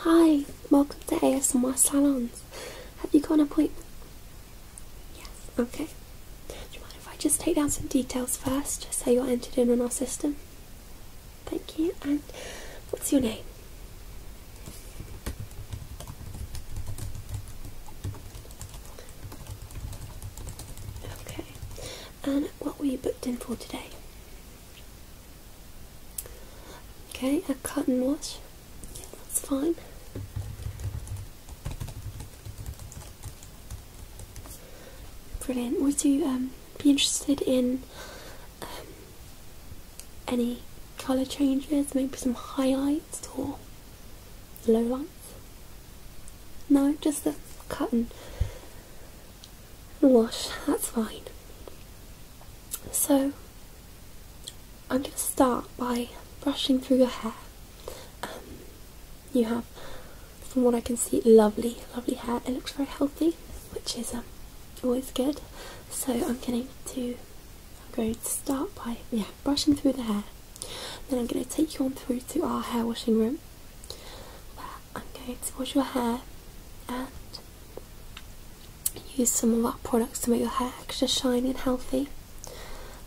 Hi, welcome to West Salons. Have you got an appointment? Yes, okay. Do you mind if I just take down some details first, just so you're entered in on our system? Thank you, and what's your name? Okay, and what were you booked in for today? Okay, a cotton wash. that's fine. Brilliant. Would you um, be interested in um, any colour changes? Maybe some highlights or lowlights? No, just the cotton wash, that's fine. So, I'm going to start by brushing through your hair. Um, you have, from what I can see, lovely, lovely hair. It looks very healthy, which is um, always good. So I'm going to, i start by, yeah, brushing through the hair. Then I'm going to take you on through to our hair washing room, where I'm going to wash your hair and use some of our products to make your hair extra shiny and healthy.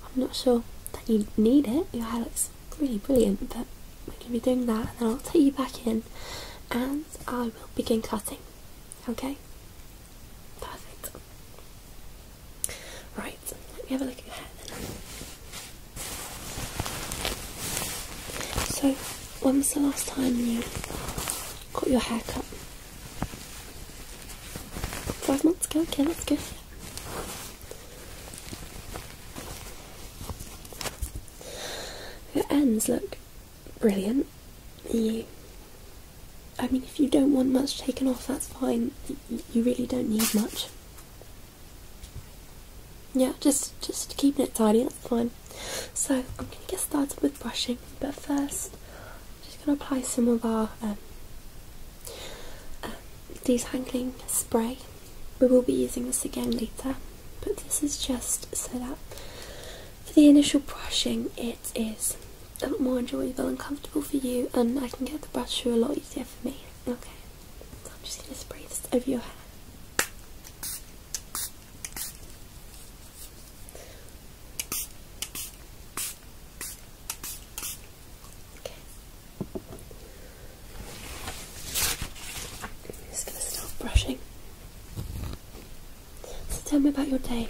I'm not sure that you need it, your hair looks really brilliant, but we're going to be doing that, and then I'll take you back in and I will begin cutting. Okay? Perfect. Right, let me have a look at your hair So, when was the last time you got your hair cut? Five months ago? Okay, that's good. Your ends look brilliant. You, I mean, if you don't want much taken off, that's fine. You really don't need much. Yeah, just just keeping it tidy. That's fine. So I'm going to get started with brushing, but first I'm just going to apply some of our um, um, detangling spray. We will be using this again later, but this is just so that for the initial brushing it is a lot more enjoyable and comfortable for you and I can get the brush through a lot easier for me. Okay, I'm just going to spray this over your hair just going to start brushing. So tell me about your day.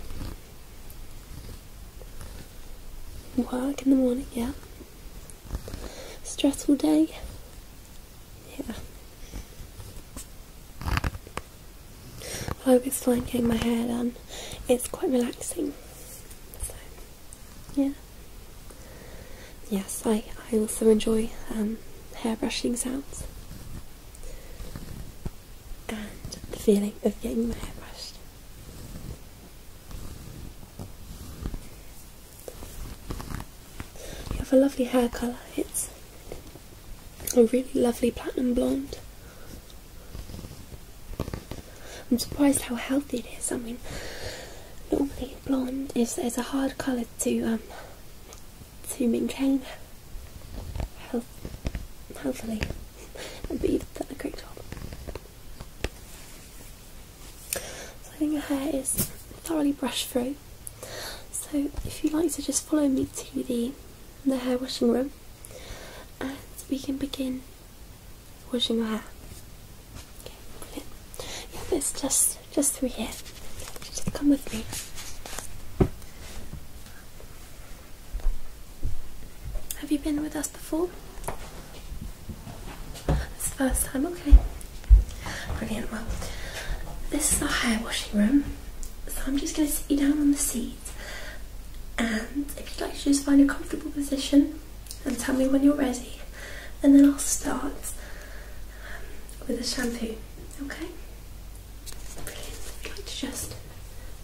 Work in the morning, yeah. Stressful day. Yeah. I hope it's fine getting my hair done. It's quite relaxing. yeah. Yes, I, I also enjoy um, hair brushing sounds. And the feeling of getting my hair brushed. You have a lovely hair colour. It's a really lovely platinum blonde. I'm surprised how healthy it is. I mean, normally blonde is, is a hard colour to um, to maintain health, healthily, but you've done a great job. So I think your hair is thoroughly brushed through. So if you'd like to just follow me to the the hair washing room and we can begin washing your hair. Yeah, it's just just through here. Just come with me. Have you been with us before? It's the first time, okay. Brilliant. Well, this is the hair washing room, so I'm just going to sit you down on the seat. And if you'd like to just find a comfortable position and tell me when you're ready, and then I'll start um, with the shampoo. Okay? Brilliant. If you'd like to just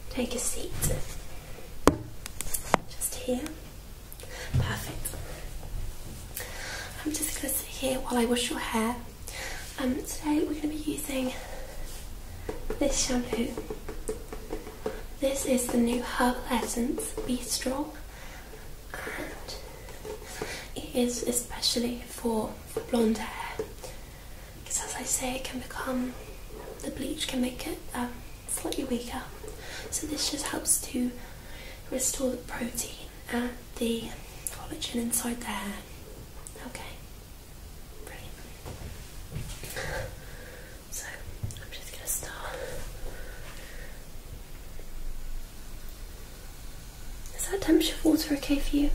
take a seat, just here. Perfect. I'm just going to sit here while I wash your hair. Um, today we're going to be using this shampoo. This is the new Herbal Essence Be Strong and it is especially for, blonde hair because as I say it can become, the bleach can make it um, slightly weaker so this just helps to restore the protein and uh, the collagen inside the Okay, brilliant. So I'm just going to start. Is that temperature of water okay for you?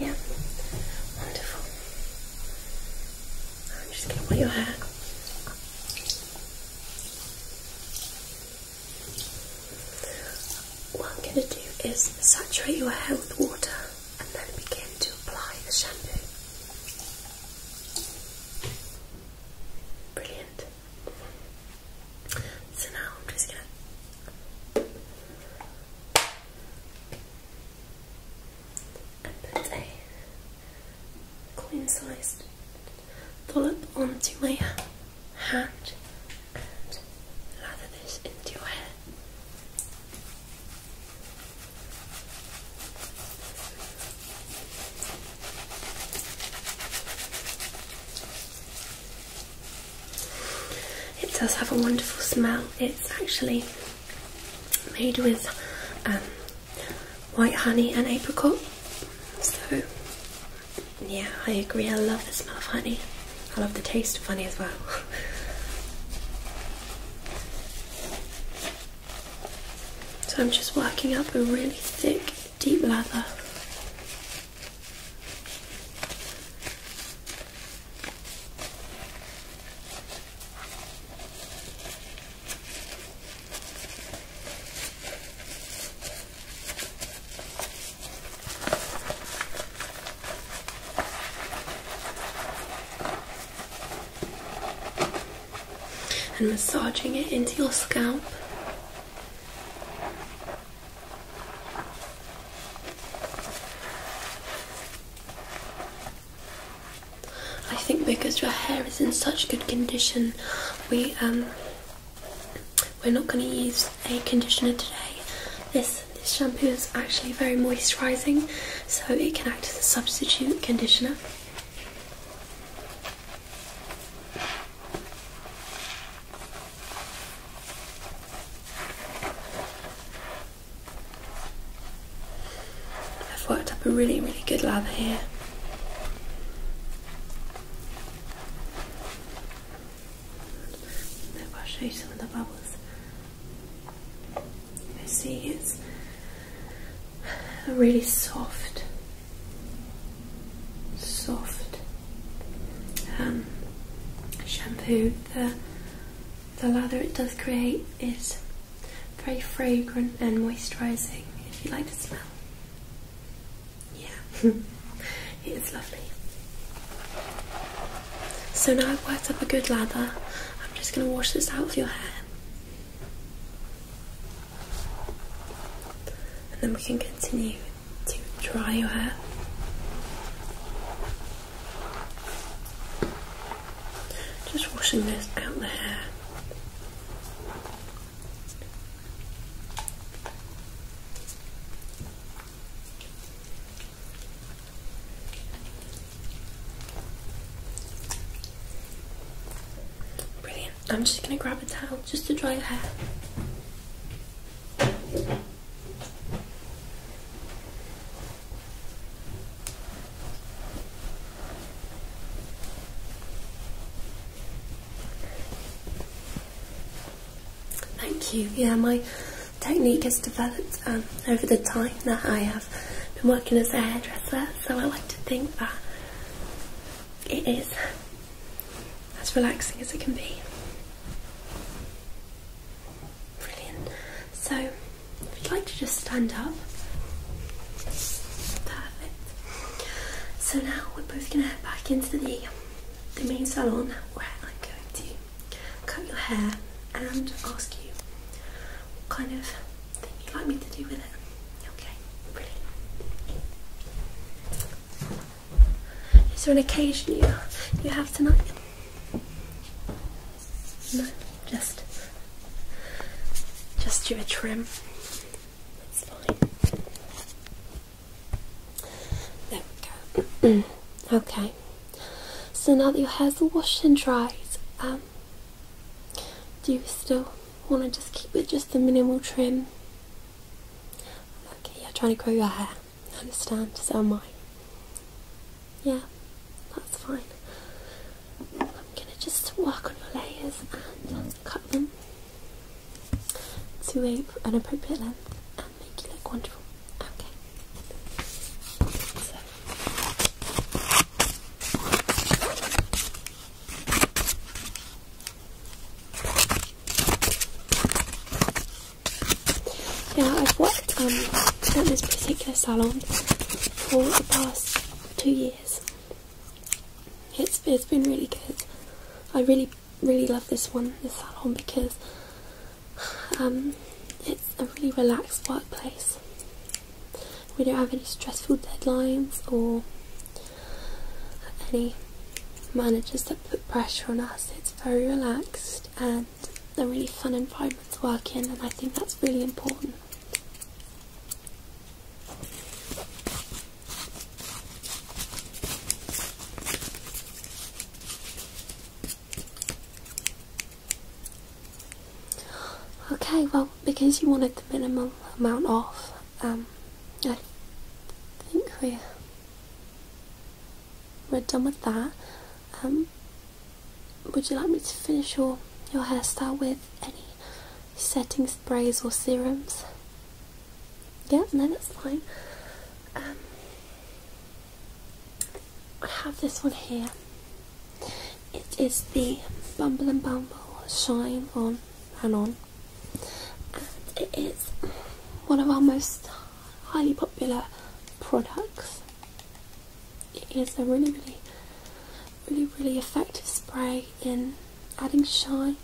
Yeah, wonderful. I'm just going to wet your hair. What I'm going to do is saturate your hair with water and then begin to apply the shampoo. Brilliant. So now I'm just going to put a coin sized dollop onto my hand lather this into your hair. It does have a wonderful smell. It's actually made with um, white honey and apricot, so yeah, I agree. I love the smell of honey. I love the taste of honey as well. so I'm just working up a really thick, deep lather and massaging it into your scalp. I think because your hair is in such good condition, we um, we're not going to use a conditioner today. This this shampoo is actually very moisturising, so it can act as a substitute conditioner. I've worked up a really, really good lather here. If I show you some of the bubbles, you see it's a really soft, soft um, shampoo. The the lather it does create is very fragrant and moisturising. If you like the smell. Yeah, it is lovely. So now I've worked up a good lather, I'm just going to wash this out of your hair. And then we can continue to dry your hair. Just washing this out the hair. Brilliant. I'm just going to grab a towel just to dry your hair. Thank you. Yeah, my technique has developed um, over the time that I have been working as a hairdresser, so I like to think that it is as relaxing as it can be. Brilliant. So, if you'd like to just stand up. Perfect. So now we're both going to head back into the the main salon where I'm going to cut your hair and ask you what kind of thing you'd like me to do with it. Okay, Is there an occasion you, you have tonight? No, just, just do a trim. That's fine. There we go. okay. So now that your hair's washed and dried, um, do you still want to just keep it just the minimal trim? Okay, yeah, trying to grow your hair. I understand, so am I. Yeah, that's fine. I'm going to just work on your layers and cut them to a, an appropriate length and make you look wonderful. Okay. So. Now I've worked um, at this particular salon for the past two years. It's it's been really good. I really really love this one, this salon, because um, it's a really relaxed workplace. We don't have any stressful deadlines or any managers that put pressure on us. It's very relaxed and a really fun environment to work in, and I think that's really important. Okay, well, because you wanted the minimum amount off, um, I think we're, done with that. Um, would you like me to finish your, your hairstyle with any setting sprays or serums? Yeah, no, that's fine. Um, I have this one here. It is the Bumble and Bumble Shine On and On. And it is one of our most highly popular products. It is a really, really, really, really effective spray in adding shine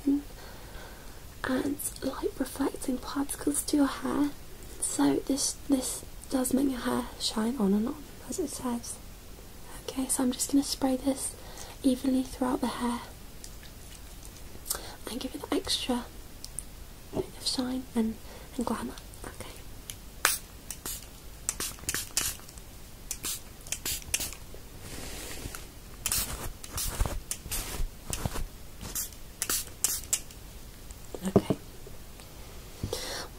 and light reflecting particles to your hair. So this this does make your hair shine on and on as it says. Okay, so I'm just going to spray this evenly throughout the hair and give it an extra bit of shine and, and glamour. Okay. Okay.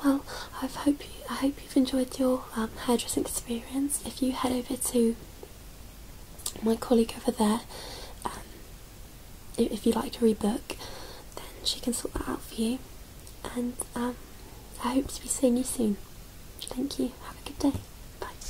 Well, I hope you, I hope you've enjoyed your um, hairdressing experience. If you head over to my colleague over there, um, if you'd like to rebook, then she can sort that out for you. And um, I hope to be seeing you soon. Thank you. Have a good day. Bye.